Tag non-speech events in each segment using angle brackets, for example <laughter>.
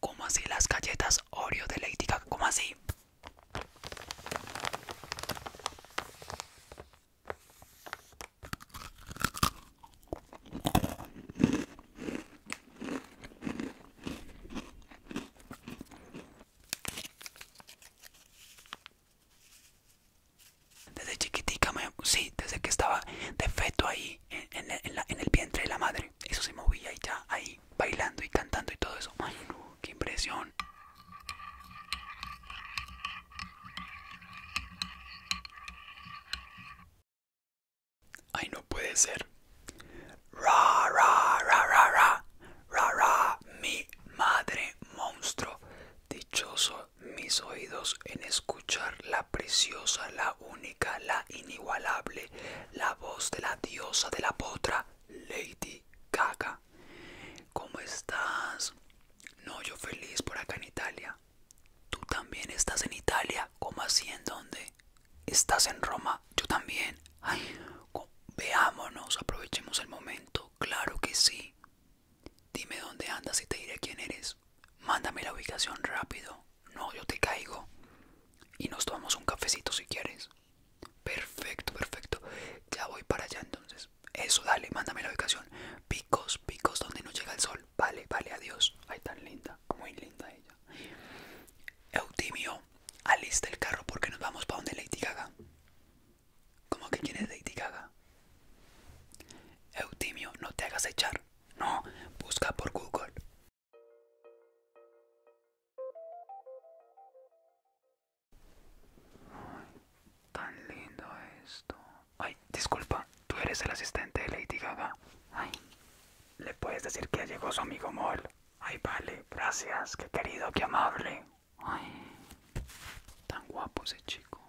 ¿Cómo así las galletas Oreo de Lady como ¿Cómo así? Desde chiquitica, me, sí, desde que estaba de feto ahí, en, el vientre de la madre. Eso se movía y ya ahí, bailando y cantando y todo eso. Ay, qué impresión. Ay, no puede ser. Ra, ra, ra, ra, ra. Rara, mi madre monstruo. Dichoso mis oídos en escuchar la preciosa, la única, la inigualable, la voz de la diosa de la potra, Lady Gaga. ¿Cómo estás? No, yo feliz por acá en Italia. ¿Tú también estás en Italia? ¿Cómo así? ¿En dónde? ¿Estás en Roma? yo también. Ay, veámonos, aprovechemos el momento. Claro que sí. Dime dónde andas y te diré quién eres. Mándame la ubicación rápido. No, yo te caigo. Y nos tomamos un cafecito si quieres. Perfecto, perfecto. Ya voy para allá entonces. Eso, dale, mándame la ubicación. Picos, picos donde no llega el sol. Vale, vale, adiós. Ay, tan linda, muy linda ella. Eutimio, alista el carro porque nos vamos para donde Lady Gaga. ¿Cómo que quién es Lady Gaga? Eutimio, no te hagas echar. No, busca por Google. Ay, tan lindo esto. Ay, disculpa, tú eres el asistente de Lady Gaga. Ay, le puedes decir que ya llegó su amigo Mol. Ay, vale, gracias, qué querido, qué amable. Ay, tan guapo ese chico.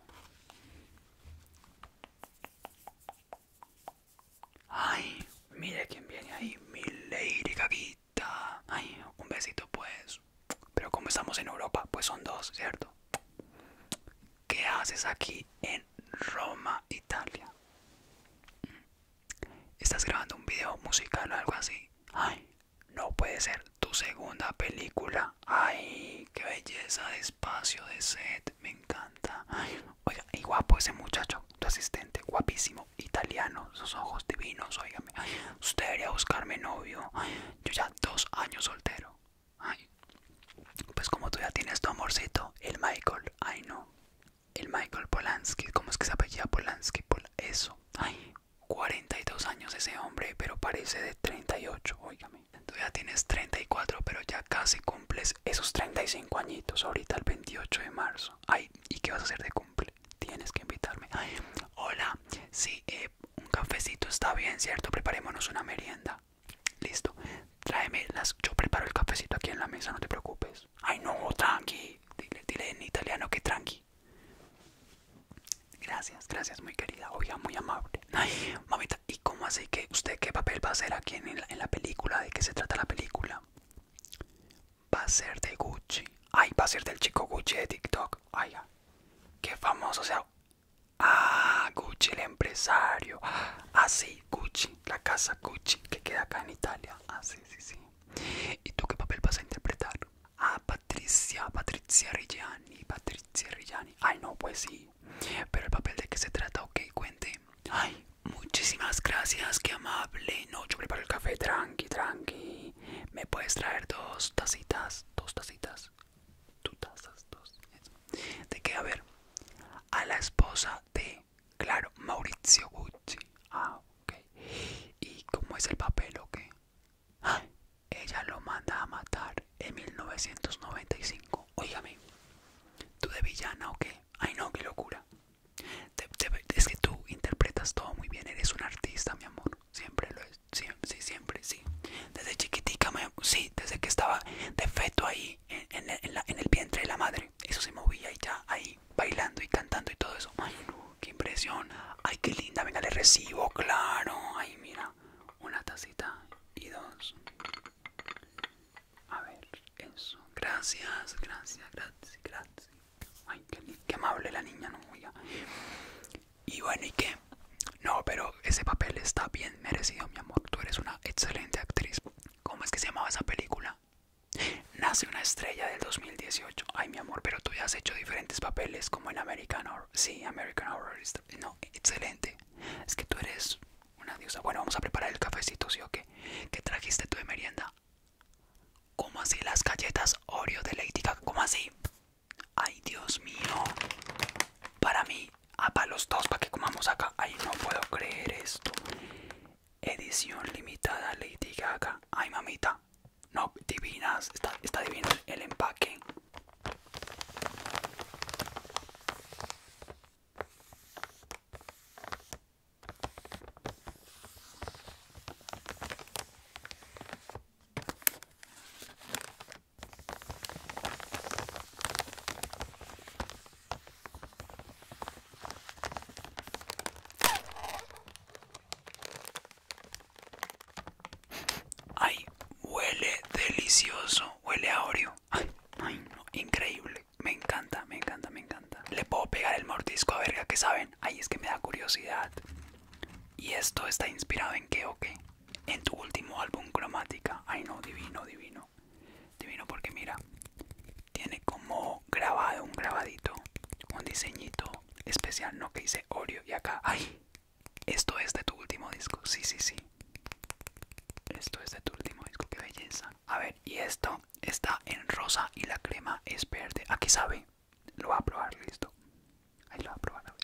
Ay, mire quién viene ahí, mi Lady caguita Ay, un besito pues. Pero como estamos en Europa, pues son dos, ¿cierto? ¿Qué haces aquí en Roma, Italia? ¿Estás grabando un video musical o algo así? Ay, no puede ser tu segunda película. Ay, qué belleza de espacio, de set, me encanta. oiga, y guapo ese muchacho, tu asistente, guapísimo, italiano, sus ojos divinos, oígame. Usted debería buscarme novio. yo ya dos años soltero. Ay, pues como tú ya tienes tu amorcito, el Michael, ay no, el Michael Polanski, ¿cómo es que se apellida Polanski? Por eso, ay, 42 años ese hombre, pero parece de 38, óigame. Tú ya tienes 34, pero ya casi cumples esos 35 añitos, ahorita el 28 de marzo. Ay, ¿y qué vas a hacer de cumple? Tienes que invitarme. Ay, hola, sí, eh, un cafecito está bien, ¿cierto? Preparémonos una merienda. Listo, tráeme las. Yo preparo el cafecito aquí en la mesa, no te preocupes. Ay, no, tranqui. dile en italiano que tranqui. Gracias, gracias, muy querida. Oiga, muy amable. <laughs> mamita, ¿y cómo así que usted qué papel va a ser aquí en la, en la película? ¿De qué se trata la película? Va a ser de Gucci. Ay, va a ser del chico Gucci de TikTok. Ay, qué famoso. O sea, ah, Gucci, el empresario. Ah, sí, Gucci, la casa Gucci que queda acá en Italia. Ah, sí, sí, sí. ¿Y tú qué papel vas a interpretar? Ah, Patricia, Patricia Rigiani, Patricia Rigiani. Ay, no, pues sí. Pero el papel de qué se trata, ok, cuente. Ay, muchísimas gracias, qué amable. No, yo preparo el café, tranqui, tranqui. ¿Me puedes traer dos tacitas? Dos tacitas. ¿Tú tazas, dos. ¿De qué? A ver. A la esposa de Claro, Maurizio Gucci. Ah, ok. ¿Y cómo es el papel o qué? ella lo manda a matar en 1995. Oígame ¿tú de villana o qué? Ay, no, qué locura. es que tú interpretas todo muy bien. Eres un artista, mi amor. Siempre lo es. sí, siempre, sí. Desde chiquitica, me, sí, desde que estaba de feto ahí, en, en el vientre de la madre. Eso se movía y ya ahí bailando y cantando y todo eso. Ay, qué impresión. Ay, qué linda. Venga, le recibo, claro. Ay, mira. Una tacita y dos. A ver, eso. Gracias, gracias, gracias, gracias. Ay, qué, amable la niña, no, Y bueno, ¿y qué? No, pero ese papel está bien merecido, mi amor. Tú eres una excelente actriz. ¿Cómo es que se llamaba esa película? Nace una estrella del 2018. Ay, mi amor, pero tú ya has hecho diferentes papeles como en American Horror. Sí, American Horror. No, excelente. Es que tú eres una diosa. Bueno, vamos a preparar el cafecito, ¿sí o qué? ¿Qué trajiste tú de merienda? ¿Cómo así las galletas Oreo de Lady Gaga? ¿Cómo así? Ay, Dios mío. Para mí, ah, para los dos, para que comamos acá. Ay, no puedo creer esto edición limitada Lady Gaga. Ay, mamita. No, divinas. Está, está el empaque. Ay, huele delicioso, huele a Oreo. Ay, ay, no, increíble. Me encanta, me encanta, me encanta. Le puedo pegar el mordisco a verga que saben. Ay, es que me da curiosidad. ¿Y esto está inspirado en qué o qué? En tu último álbum cromática. Ay, no, divino, divino. Divino porque mira, tiene como grabado un grabadito, un diseñito especial, no que dice Oreo y acá, ay, esto es de tu último disco, sí, sí, sí, esto es de tu último disco, qué belleza. A ver, y esto está en rosa y la crema es verde, aquí sabe, lo voy a probar, listo, ahí lo voy a probar, a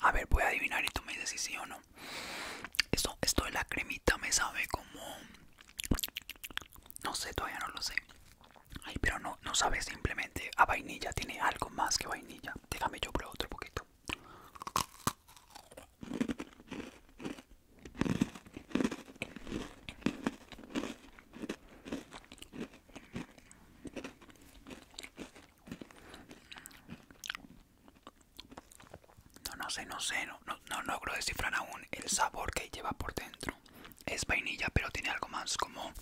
a ver, voy a adivinar y tú me dices si o no. Esto, esto de la cremita me sabe como... No sé, todavía no lo sé. pero no, no sabe simplemente a vainilla. Tiene algo más que vainilla. Déjame yo probar otro poquito. No, no sé, no sé, no, no logro descifrar aún el sabor que lleva por dentro. Es vainilla, pero tiene algo más como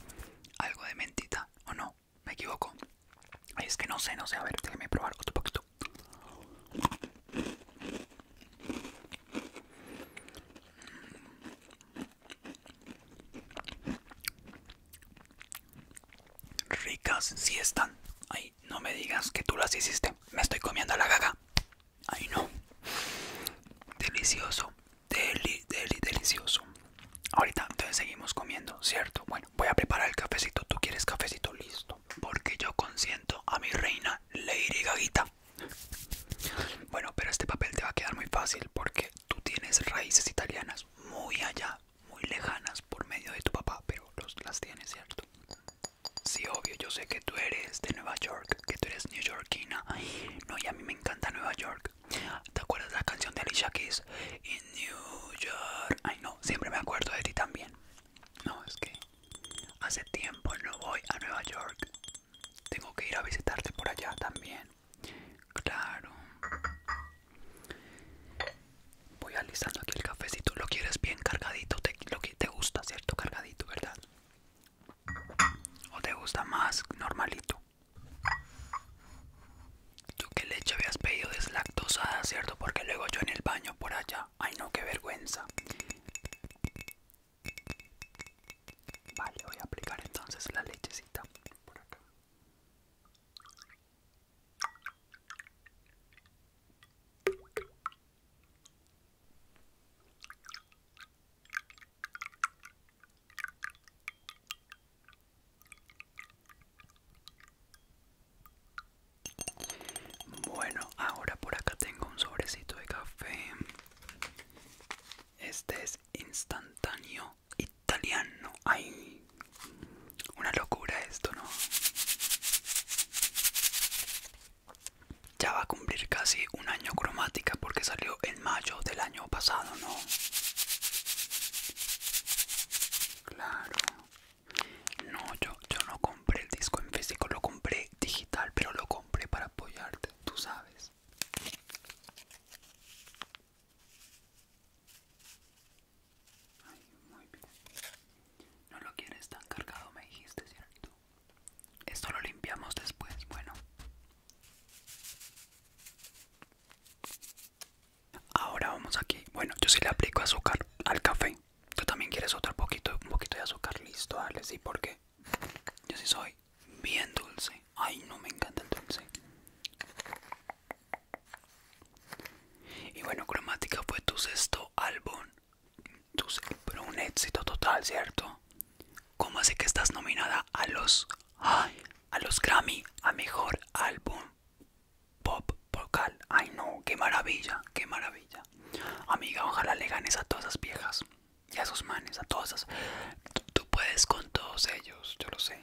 algo de mentita, ¿o no? me equivoco. Es que no sé, no sé. A ver, déjame probar otro poquito. Ricas sí están. Ay, no me digas que tú las hiciste. Me estoy comiendo la gaga. Ay, no. Delicioso. Deli, deli, delicioso. Ahorita entonces seguimos comiendo, ¿cierto? Bueno, voy a preparar el cafecito. ¿Tú quieres cafecito listo? Porque yo consiento a mi reina Lady Gaguita. Bueno, pero este papel te va a quedar muy fácil porque tú tienes raíces italianas muy allá, muy lejanas por medio de tu papá, pero los, las tienes, ¿cierto? Sí, obvio, yo sé que tú eres de Nueva York, que tú eres neoyorquina. No, y a mí me encanta Nueva York. ¿Te acuerdas la canción de Alicia Keys? New York. Ay, no, siempre me acuerdo de ti también. No, es que hace tiempo no voy a Nueva York. Tengo que ir a visitarte por allá también. Claro. Voy alisando aquí el cafecito. Lo quieres bien cargadito. Te, lo que te gusta, ¿cierto? Cargadito, ¿verdad? ¿O te gusta más normalito? Tú qué leche habías pedido deslactosada, ¿cierto? Porque luego yo en el baño por allá. Ay, no, qué vergüenza. Vale, voy a aplicar entonces la lechecita por acá. Bueno, ahora por acá tengo un sobrecito de café. Este es instantáneo italiano. Ay, una locura esto, ¿no? Ya va a cumplir casi un año cromática porque salió en mayo del año pasado, ¿no? Claro. No, yo, yo no compré el disco en físico, lo compré digital, pero lo compré para apoyarte, tú sabes. No lo quieres tan cargado, me dijiste, ¿cierto? Esto lo limpiamos después, bueno. Ahora vamos aquí. Bueno, yo sí le aplico azúcar al café. Tú también quieres otro poquito, un poquito de azúcar, listo, dale, sí, porque yo sí soy bien dulce. Ay, no me encanta el dulce. Y bueno, cromática fue tu sexto álbum. Tu pero un éxito total, ¿cierto? ¿Cómo así que estás nominada a los a los Grammy a mejor álbum? pop vocal. Ay no, qué maravilla, qué maravilla. Amiga, ojalá le ganes a todas esas viejas y a sus manes, a todas esas. tú puedes con todos ellos, yo lo sé.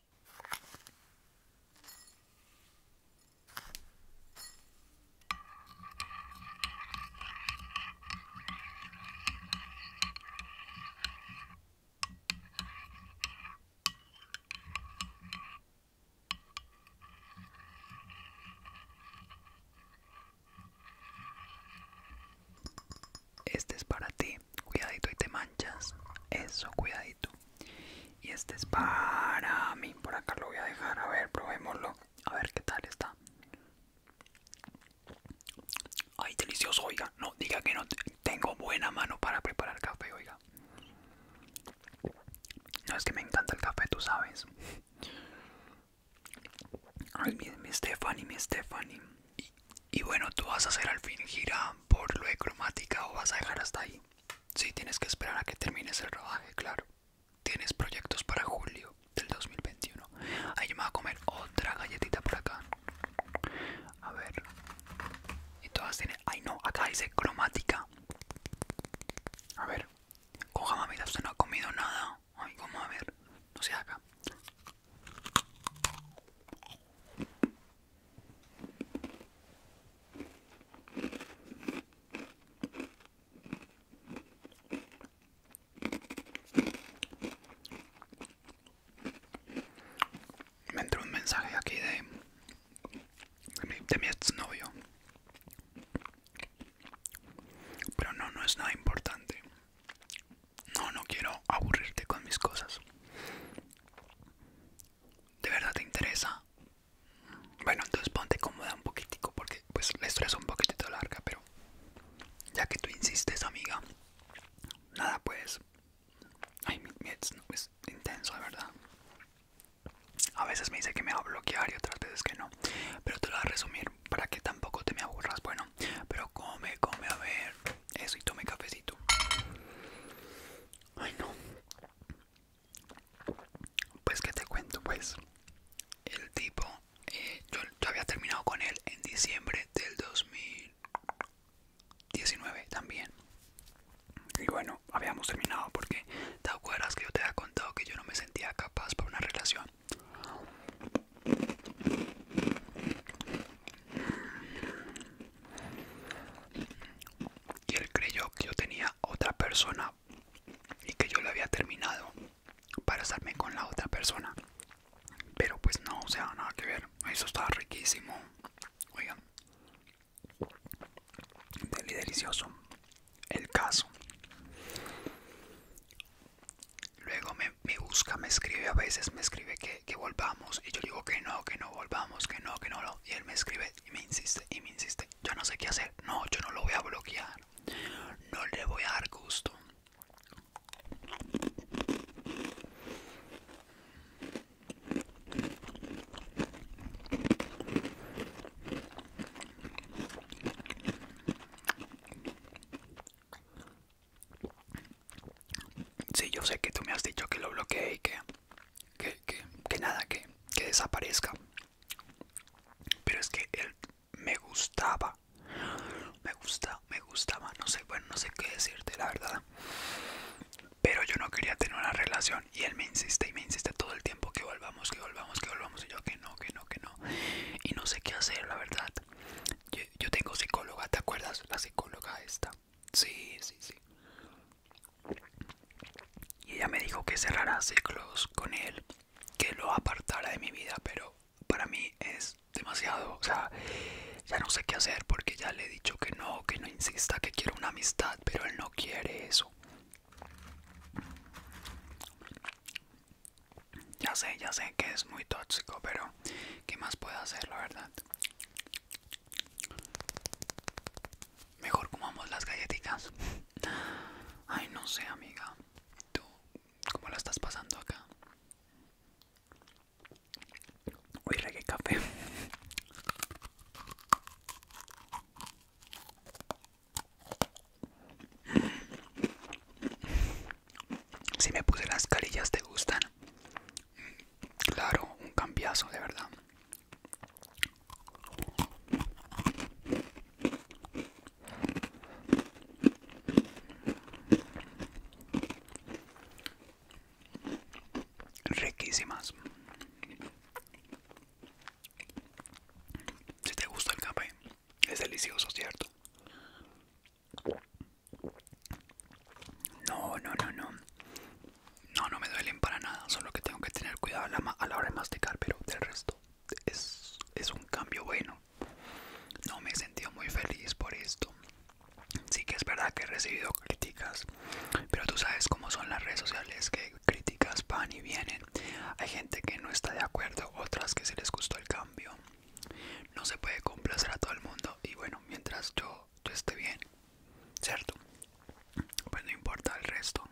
Este es para ti, cuidadito y te manchas, eso, cuidadito. Y este es para mí. Por acá lo voy a dejar. A ver, probémoslo. A ver qué tal está. Ay, delicioso, oiga. No, diga que no tengo buena mano para preparar café, oiga. No es que me encanta el café, tú sabes. Ay, mi, Stephanie, mi Stephanie. Y, bueno, tú vas a hacer al fin gira por lo de cromática o vas a dejar hasta ahí. Sí, tienes que esperar a que termines el rodaje, claro. Tienes proyectos para julio del 2021. Ahí yo me voy a comer otra galletita por acá. A ver. Y todas tienen... Ay no, acá dice cromática. A ver. Coja mamita, usted no ha comido nada. Ay, como a ver. No se haga. Me entró un mensaje aquí de, de, mi, ex mi exnovio. Pero no, no es nada importante. No, no quiero aburrirte con mis cosas. ¿De verdad te interesa? Bueno, entonces ponte cómoda un poquitico porque pues la historia es un poquitito larga, pero ya que tú insistes, amiga, nada pues. Ay, mi, es intenso, de verdad. A veces me dice que me va a bloquear y otras veces que no. Pero te lo voy a resumir para que tampoco te me aburras. Bueno, pero come, come, a ver. Eso y tome cafecito. Ay no. Pues que te cuento, pues. El tipo, eh, yo, yo había terminado con él en diciembre del 2019 también. Y bueno, habíamos terminado porque te acuerdas que yo te había contado que yo no me sentía capaz para una relación. Y él creyó que yo tenía otra persona y que yo lo había terminado para estarme con la otra persona. Pero pues no, o sea, nada que ver. Eso estaba riquísimo. Oigan. delicioso. El caso. Luego me busca, me escribe a veces, me escribe que que, volvamos y yo digo que no, que no volvamos, que no, que no, no, y él me escribe y me insiste y me insiste, yo no sé qué hacer, no, yo no lo voy a bloquear, no le voy a dar gusto. Sí, yo sé que tú me has dicho que lo bloqueé y que, que, nada, que, desaparezca. Pero es que él me gustaba. Me gusta, me gustaba. No sé, bueno, no sé qué decirte, la verdad. Pero yo no quería tener una relación y él me insiste y me insiste todo el tiempo que volvamos, que volvamos, que volvamos. Y yo que no, que no, que no. Y no sé qué hacer, la verdad. Yo, yo tengo psicóloga, ¿te acuerdas? La psicóloga esta. Sí, sí, sí. Y ella me dijo que cerrara ciclos con él, que lo apartara de mi vida, pero para mí es demasiado. O sea, ya no sé qué hacer porque ya le he dicho que no, que no insista, que quiero una amistad, pero él no quiere eso. Ya sé, ya sé que es muy tóxico, pero ¿qué más puedo hacer, la verdad? Mejor comamos las galletitas. Ay, no sé, amiga. ¿Tú cómo la estás pasando acá? Uy, que café. Si me puse las carillas, ¿te gustan? Claro, un cambiazo, de verdad. Riquísimas. Si te gusta el café, es delicioso, ¿cierto? No, no, no, no. No, no me duelen para nada. Solo que tengo que tener cuidado a la, hora de masticar, pero del resto es, es un cambio bueno. No me he sentido muy feliz por esto. Sí que es verdad que he recibido críticas, pero tú sabes cómo son las redes sociales, que críticas van y vienen. Hay gente que no está de acuerdo, otras que se les gustó el cambio. No se puede complacer a todo el mundo y bueno, mientras yo todo, esté bien, ¿cierto? Pues no importa el resto.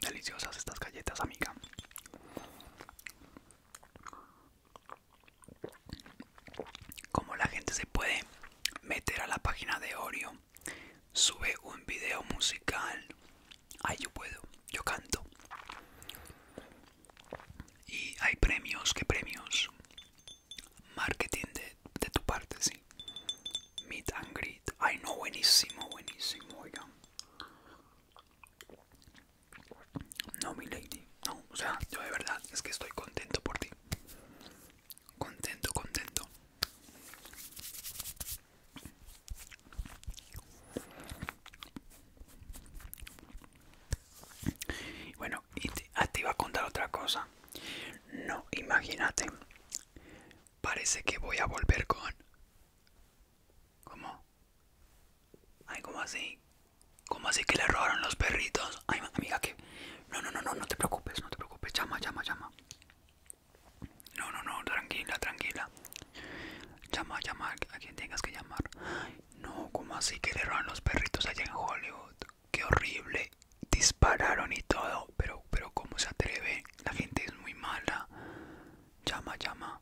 Deliciosas estas galletas, amiga. Como la gente se puede meter a la página de Oreo, sube un video musical. Ahí yo puedo, yo canto. Y hay premios, ¿qué premios? marketing de, tu parte, sí. Meet and greet. Ay, no, buenísimo, buenísimo, oigan. No, mi lady. No, o sea, yo de verdad es que estoy contento por ti. Contento, contento. Bueno, y ah, te, iba a contar otra cosa. No, imagínate. Parece que voy a volver con... ¿Cómo? Ay, ¿cómo así? ¿Cómo así que le robaron los perritos? Ay, amiga, que... No, no, no, no, no te preocupes, no te preocupes. Llama, llama, llama. No, no, no, tranquila, tranquila. Llama, llama a quien tengas que llamar. no, ¿cómo así que le robaron los perritos allá en Hollywood? qué horrible, dispararon y todo, pero, pero cómo se atreve, la gente es muy mala, llama, llama,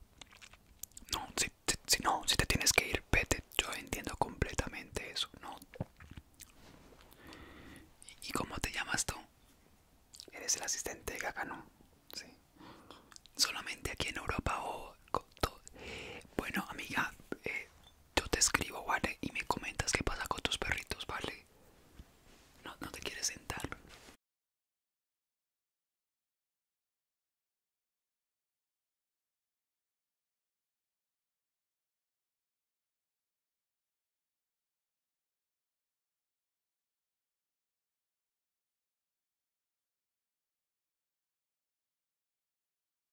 no, si, no, si te tienes que ir, vete, yo entiendo completamente eso, no. ¿Y, cómo te llamas tú? Eres el asistente de no sí. Solamente aquí en Europa o... bueno, amiga, eh, yo te escribo, ¿vale? Y me comentas qué pasa con tus perritos, ¿vale? No, no te quieres sentar.